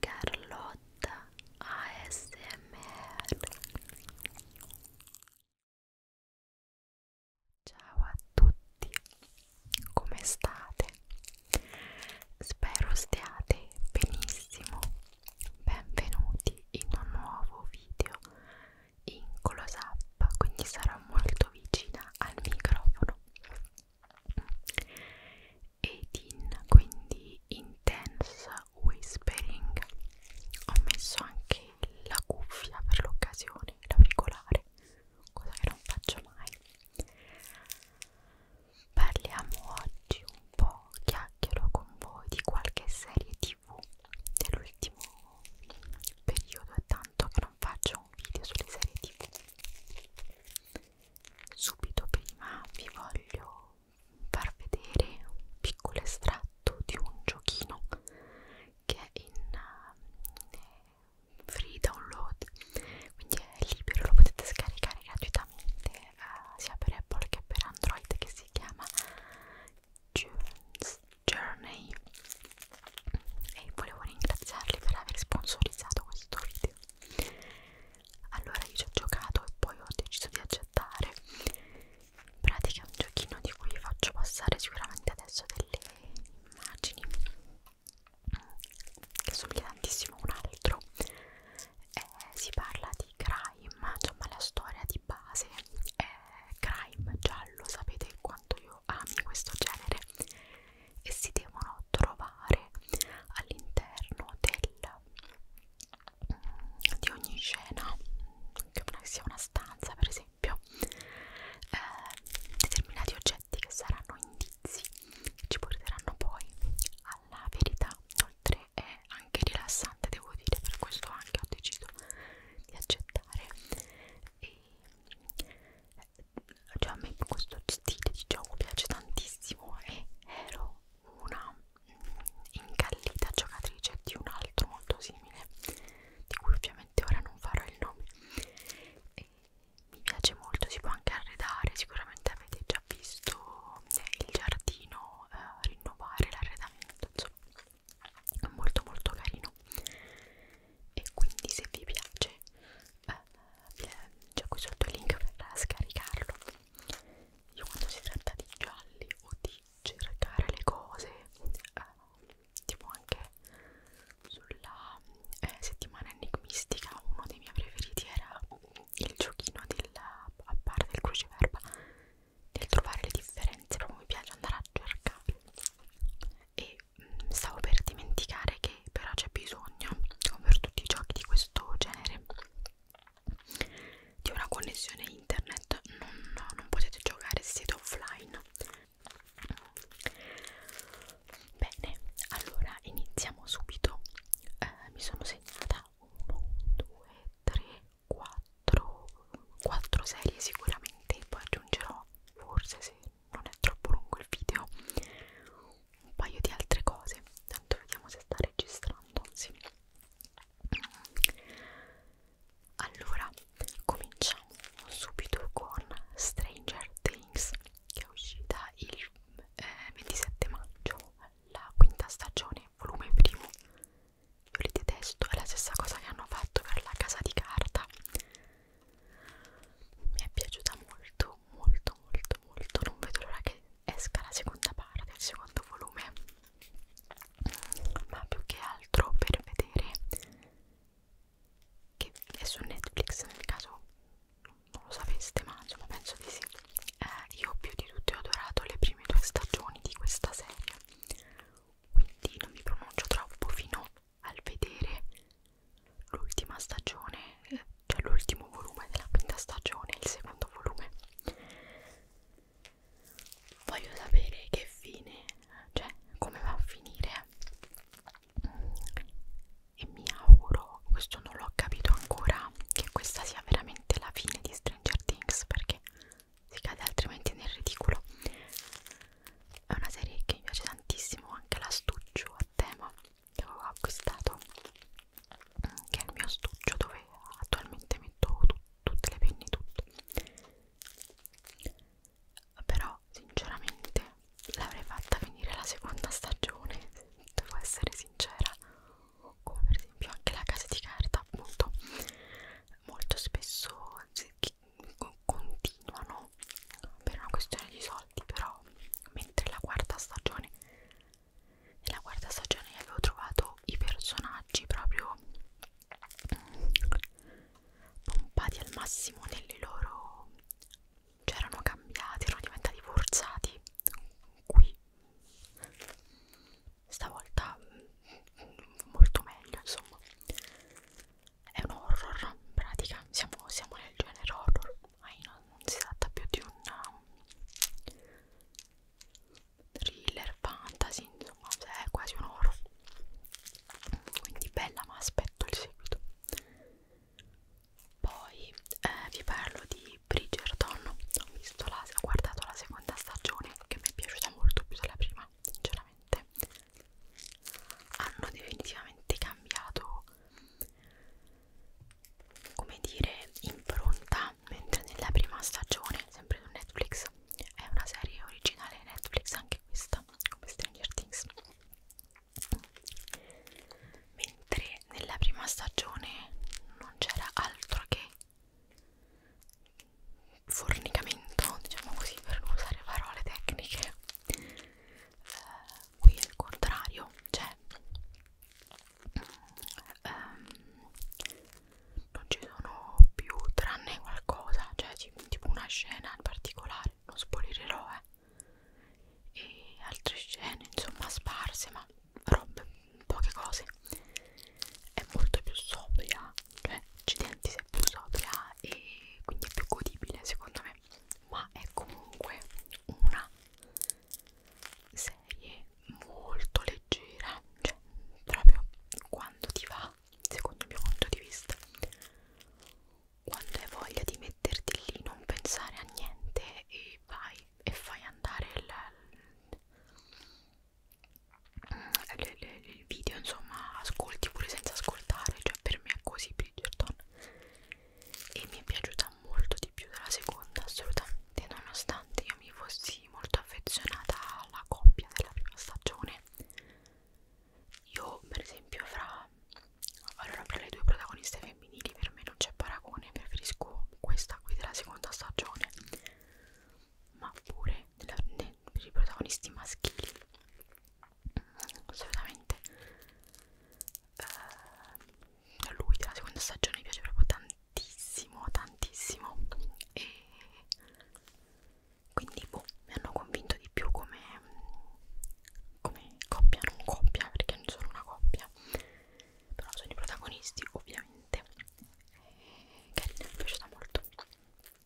Carlotta ASMR Ciao a tutti, come state? Spero stiate benissimo, benvenuti in un nuovo video in close up, quindi sarò molto vicina al microfono ed in quindi intense whispering ho messo anche la cuffia per l'occasione l'auricolare cosa che non faccio mai parliamo oggi un po' chiacchiero con voi di qualche serie tv dell'ultimo periodo è tanto che non faccio un video sulle serie tv subito prima vi voglio far vedere un piccolo estratto di un giochino che è in uh, free download quindi è libero lo potete scaricare gratuitamente uh, sia per Apple che per Android che si chiama June's Journey e volevo ringraziarli per aver sponsorizzato questo video allora io ci ho giocato e poi ho deciso di accettare in pratica è un giochino di cui vi faccio passare sicuramente adesso delle immagini che somiglia tantissimo a un altro eh, si parla di crime insomma la storia di base è crime giallo sapete quanto io ami questo genere e si devono trovare all'interno mm, di ogni scena, che sia una stanza per esempio, eh, determinati oggetti che saranno indizi che ci porteranno poi alla verità. Oltre è anche rilassante, devo dire, per questo anche ho deciso di accettare e cioè a me questo stile di gioco piace tantissimo e ero una incallita giocatrice di un altro molto simile di cui ovviamente ora non farò il nome e mi piace molto, si può anche arredare, sicuramente avete già visto il giardino, eh, rinnovare l'arredamento, insomma, è molto molto carino e quindi se vi piace eh, eh c'è qui sotto il link per scaricarlo io quando si tratta di gialli o di cercare le cose eh, tipo anche sulla eh, settimana enigmistica uno dei miei preferiti era il giochino del, a parte del cruciverba del trovare le differenze proprio mi piace andare a cercare e stavo per dimenticare che però c'è bisogno, come per tutti i giochi di questo genere, di una connessione internet, non, no, non potete giocare se siete offline. Bene, allora iniziamo subito. Eh, mi sono segnata 1, 2, 3, 4, 4 serie sicuramente, poi aggiungerò forse se non è troppo lungo il video un paio di altre cose tanto vediamo se sta registrando sì. allora cominciamo subito con Stranger Things che è uscita il eh, 27 maggio la quinta stagione volume primo io li detesto è la stessa cosa che hanno fatto per la casa di carta mi è piaciuta molto molto molto molto non vedo l'ora che esca la seconda parte il secondo volume ma più che altro per vedere che è su Netflix nel caso non lo sapeste ma insomma penso di sì eh, io più di tutti ho adorato le prime due stagioni di questa serie quindi non mi pronuncio troppo fino al vedere l'ultima stagione, cioè l'ultimo volume della quinta stagione, il secondo volume. Voglio sapere che fine, cioè come va a finire. E mi auguro, questo non l'ho capito ancora, che questa sia veramente la fine di Stranger Things perché si cade altrimenti nel ridicolo è una serie che mi piace tantissimo anche l'astuccio a tema che avevo acquistato mm, che è il mio astuccio dove attualmente metto tu tutte le penne tutto però sinceramente l'avrei fatta finire la seconda stagione devo essere sincera come per esempio anche la casa di carta appunto molto spesso continuano per una questione di soldi però mentre la quarta stagione nella quarta stagione avevo trovato i personaggi proprio mm, pompati al massimo nelle loro cioè erano cambiati erano diventati forzati qui stavolta mm, molto meglio insomma è un horror in pratica siamo, siamo nel genere horror ma non, non si tratta più di un um, thriller fantasy insomma cioè è quasi un horror quindi bella ma aspetto il seguito poi eh, vi parlo di Bridgerton ho, visto la, ho guardato la seconda stagione che mi è piaciuta molto più della prima sinceramente hanno definitivamente cambiato come dire impronta mentre nella prima stagione sempre su Netflix è una serie originale Netflix anche questa come Stranger Things mentre nella prima stagione non c'era altro che fornicamento, diciamo così, per non usare parole tecniche. Uh, qui è il contrario, cioè um, non ci sono più tranne qualcosa, cioè tipo una scena in particolare, non spoilerò eh, e altre scene insomma sparse, ma robe, poche cose. È molto più sobria accidenti si è più sobria e quindi è più godibile secondo me ma è comunque una serie molto leggera cioè proprio quando ti va secondo il mio punto di vista quando hai voglia di metterti lì non pensare a niente e vai e fai andare il, il video insomma ascolti pure senza ascoltare cioè per me è così Bridgerton e mi è piaciuta molto di più della seconda assolutamente nonostante io mi fossi molto affezionata alla coppia della prima stagione io per esempio fra allora fra le due protagoniste femminili per me non c'è paragone preferisco questa qui della seconda stagione ma pure della, ne, per i protagonisti maschili assolutamente eh, lui della seconda stagione mi piace proprio tantissimo tantissimo e quindi boh, mi hanno convinto di più come, come coppia non coppia perché non sono una coppia però sono i protagonisti ovviamente e eh, carina mi è piaciuta molto Mm,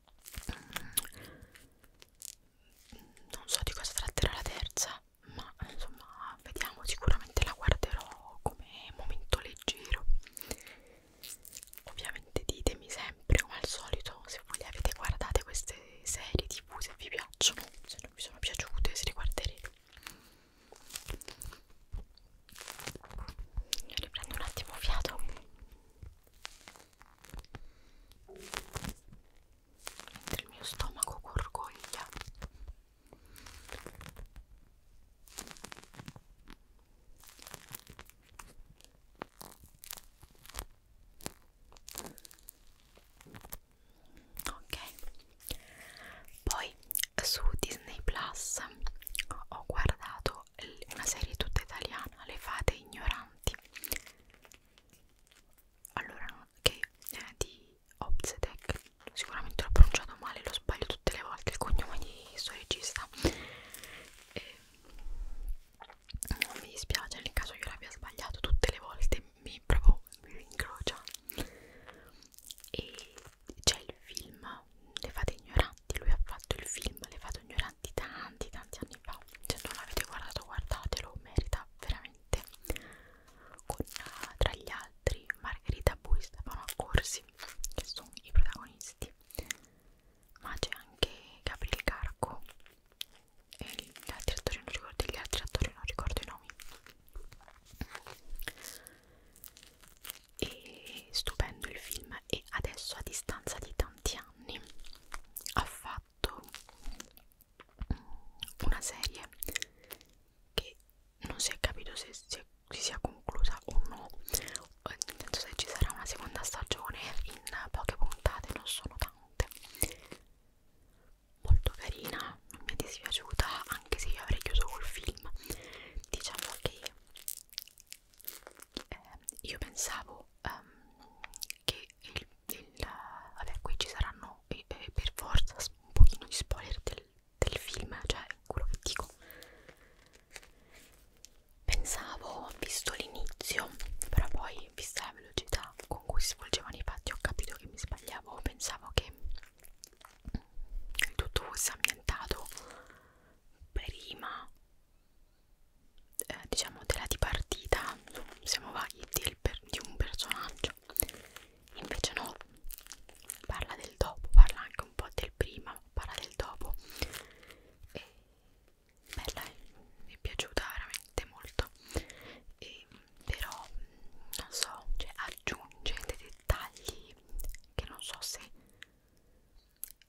non so di cosa tratterà la terza ma insomma vediamo sicuramente la guarderò come momento leggero ovviamente ditemi sempre come al solito se voi le avete guardate queste serie tv se vi piacciono se non vi sono piaciute se le guarderete riprendo un attimo fiato mentre il mio stomaco gorgoglia ok poi su Disney Plus ho guardato una serie tutta italiana, Le fate ignoranti. Allora, che è eh, di Obzedek, sicuramente l'ho pronunciato male, lo sbaglio tutte le volte, il cognome di questo regista. E non mi dispiace nel caso io l'abbia sbagliato tutte le volte, mi proprio mi incrocia. E c'è il film Le fate ignoranti, lui ha fatto il film Le fate ignoranti tanti tanti anni fa, se non l'avete guardato guardatelo, merita veramente con ah, tra gli altri Margherita Bui e Stefano Accorsi che sono i protagonisti ma c'è anche Gabriele Carco e gli altri attori non ricordo gli altri attori non ricordo i nomi e stupendo il film e adesso a distanza di tanti anni ha fatto una serie che non si è capito se si, si sia conclusa o no nel senso se ci sarà una seconda stagione in poche puntate non sono tante molto carina non mi è dispiaciuta anche se io avrei chiuso col film diciamo che eh, io pensavo um, che il, il uh, vabbè qui ci saranno eh, eh, per forza un pochino di spoiler del, del film cioè quello che dico pensavo ho visto l'inizio però poi vista la velocità con cui si svolgevano i fatti ho capito che mi sbagliavo pensavo che mm, tutto fosse ambientato prima eh, diciamo della dipartita siamo vaghi per, di un personaggio invece no parla del dopo parla anche un po' del prima parla del dopo e bella mi è piaciuta veramente molto e, però non so cioè aggiunge dei dettagli che non so se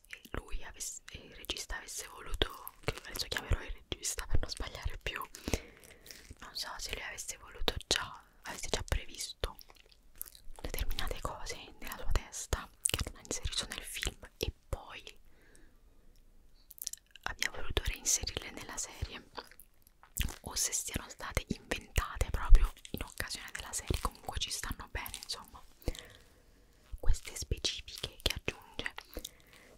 e lui avesse, e il regista avesse voluto che adesso chiamerò il regista per non sbagliare più non so se lui avesse voluto già avesse già previsto determinate cose nella sua testa che non ha inserito nel film e poi abbia voluto reinserirle nella serie o se siano state inventate proprio in occasione della serie comunque ci stanno bene insomma queste specifiche che aggiunge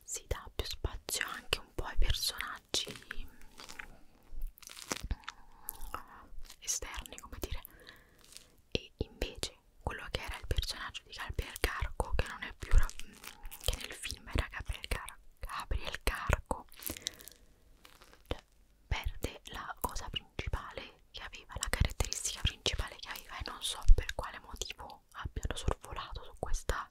si dà più spazio anche un po' ai personaggi eh, esterni come dire e invece quello che era il personaggio di Gabriel Carco che non è più che nel film era Gabriel, Car Gabriel Carco perde la cosa principale che aveva, la caratteristica principale che aveva e non so per quale motivo abbiano sorvolato su questa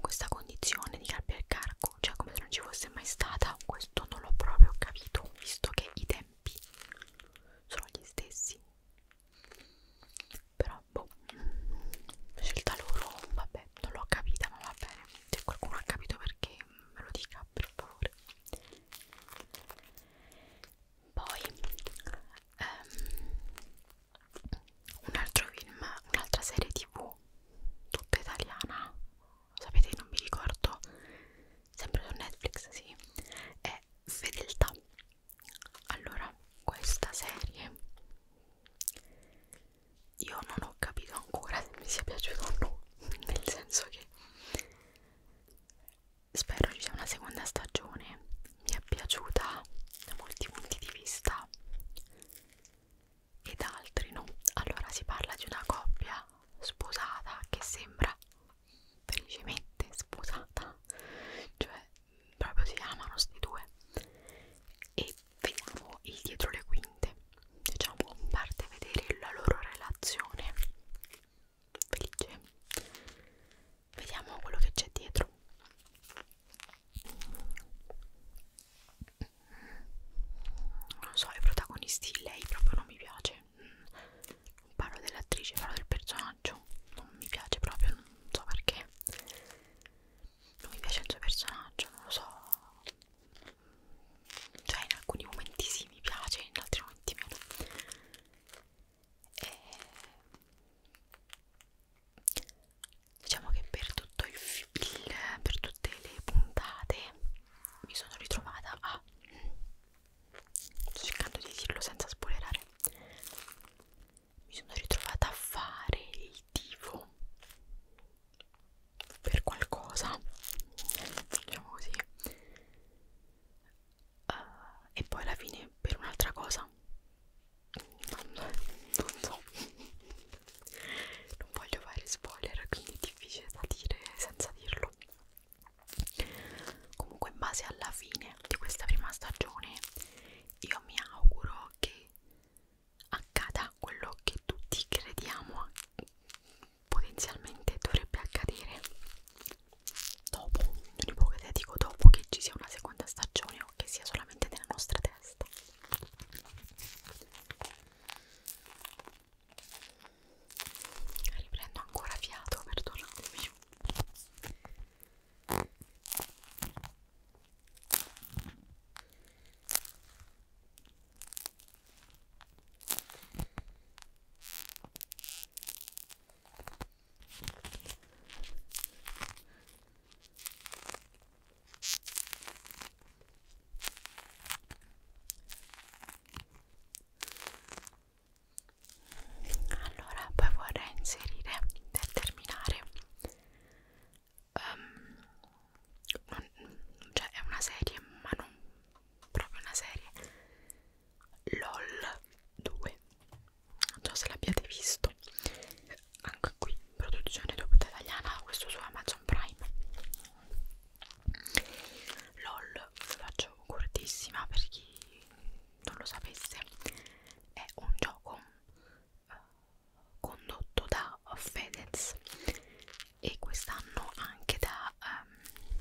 questa condizione di carpio carco, cioè come se non ci fosse mai stata, questo non l'ho proprio capito, visto che i tempi sono gli stessi. Però boh, scelta loro, vabbè, non l'ho capita, ma va bene. Se qualcuno ha capito perché me lo dica per favore poi um, un altro film un'altra serie tv tutta italiana sapete non mi ricordo sempre su Netflix sì è Fedeltà allora questa serie io non ho capito ancora se mi sia piaciuto o no nel senso che spero ci sia una seconda stagione mi è piaciuta da molti punti di vista ed altri no allora si parla di una coppia sposata che sembra felicemente sposata cioè proprio si amano sti due e vediamo il dietro le quinte diciamo parte a vedere la loro relazione felice vediamo quello che c'è dietro non so i protagonisti lei proprio non mi piace non parlo dell'attrice parlo del personaggio non mi piace proprio non so perché non mi piace il suo personaggio non lo so cioè in alcuni momenti sì mi piace, in altri momenti meno e diciamo che per tutto il, il per tutte le puntate mi sono ritrovata a sto cercando di dirlo senza spoilerare mi sono ritrovata a fare il auditivo per qualcosa diciamo così uh, e poi alla fine per un'altra cosa non, non so non voglio fare spoiler quindi è difficile da dire senza dirlo comunque in base alla fine di questa prima stagione io mi auguro che accada quello che tutti crediamo potenzialmente dovrebbe accadere dopo, non ipotetico dopo che ci sia una seconda stagione o che sia solamente nella nostra testa riprendo ancora fiato perdonatemi allora, poi vorrei inserire per terminare um, non, cioè è una serie ma non proprio una serie LOL 2 non so se l'abbiate visto anche qui produzione doppia italiana questo su Amazon Prime LOL ve faccio cortissima per chi non lo sapesse è un gioco condotto da Fedez e quest'anno anche da um...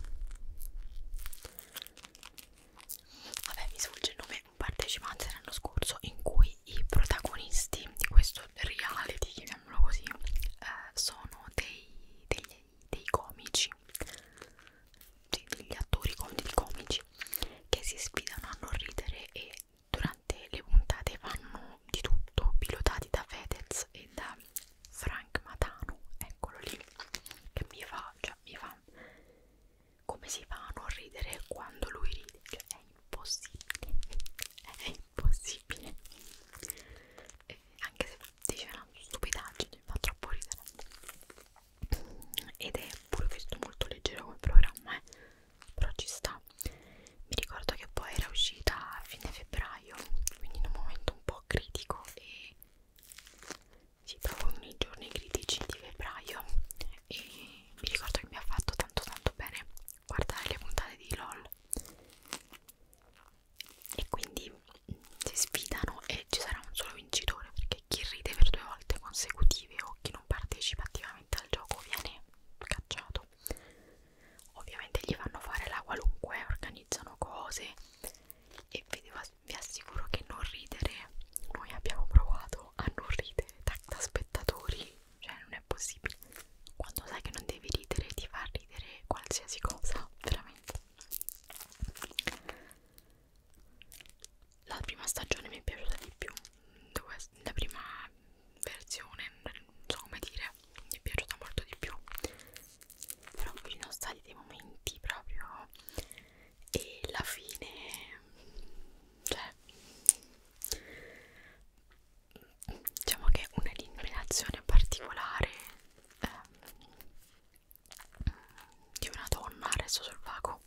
vabbè mi sfugge il nome un partecipante l'anno scorso in cui i protagonisti di questo reality chiamiamolo così eh, sono dei, degli, dei comici degli attori comici che si sfidano a non ridere e durante le puntate fanno di tutto, pilotati da Fedez e da Frank Matano, eccolo lì, che mi fa, cioè mi fa come si fa a non ridere quando lui ride, cioè è impossibile, è impossibile, e anche se dice una stupidaggine, fa troppo ridere ed è pure questo molto leggero come programma eh però ci sta mi ricordo che poi era uscita a fine febbraio quindi in un momento un po' critico e sì proprio nei giorni critici di febbraio e mi ricordo che mi ha fatto tanto tanto bene guardare le puntate di LOL e quindi mm, si sfidano e ci sarà un solo vincitore perché chi ride per due volte consecutive o chi non partecipa attivamente dal gioco viene cacciato ovviamente gli fanno fare la qualunque organizzano cose e vi, devo, vi assicuro che non ridere noi abbiamo provato a non ridere da, da spettatori cioè non è possibile quando sai che non devi ridere ti fa ridere qualsiasi cosa veramente la prima stagione mi è piaciuta di più la prima versione non so come dire mi è piaciuta molto di più però qui ci sono stati dei momenti proprio e la fine cioè diciamo che un'eliminazione particolare eh, di una donna adesso sul vago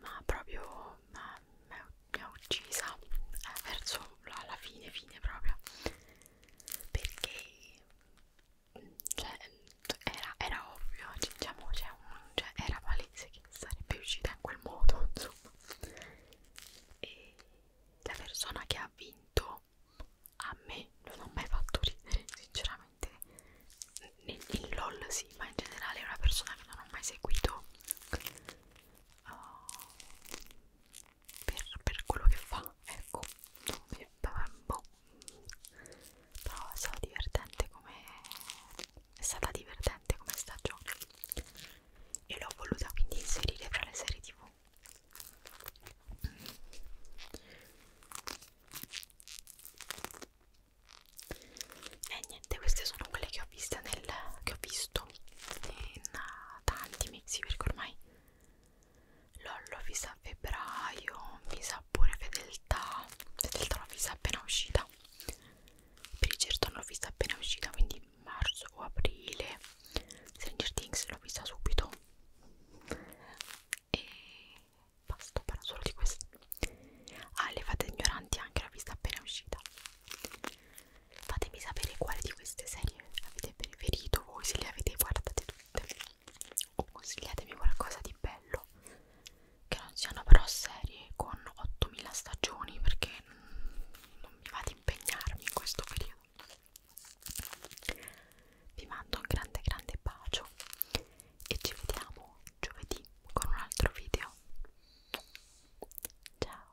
ma proprio ma, ma, mi ha uccisa eh, verso la, la fine fine proprio perché cioè, era, era ovvio diciamo cioè, un, cioè, era palese che sarebbe uscita in quel modo insomma e la persona che ha vinto a me non ha mai fatto ridere sinceramente veramente in LOL sì, ma in generale è una persona che non ho mai seguito uh, per, per quello che fa, ecco, boh. però è stata divertente come è stata divertente come stagione e l'ho voluta quindi inserire fra le serie tv e niente queste sono quelle che ho viste nel che ho visto in uh, tanti mesi perché ormai l'ho vista a febbraio mi sa pure fedeltà fedeltà l'ho vista appena uscita per il certo l'ho vista appena uscita quindi marzo o aprile Stranger Things l'ho vista subito e basta, parlo solo di questo. Ah, le fate ignoranti anche la vista appena uscita. Fatemi sapere quale di queste serie avete preferito voi, se le avete guardate tutte. O consigliatemi qualcosa di bello. Che non siano però serie con 8000 stagioni perché non mi va ad impegnarmi in questo periodo. Vi mando un grande grande bacio e ci vediamo giovedì con un altro video. Ciao!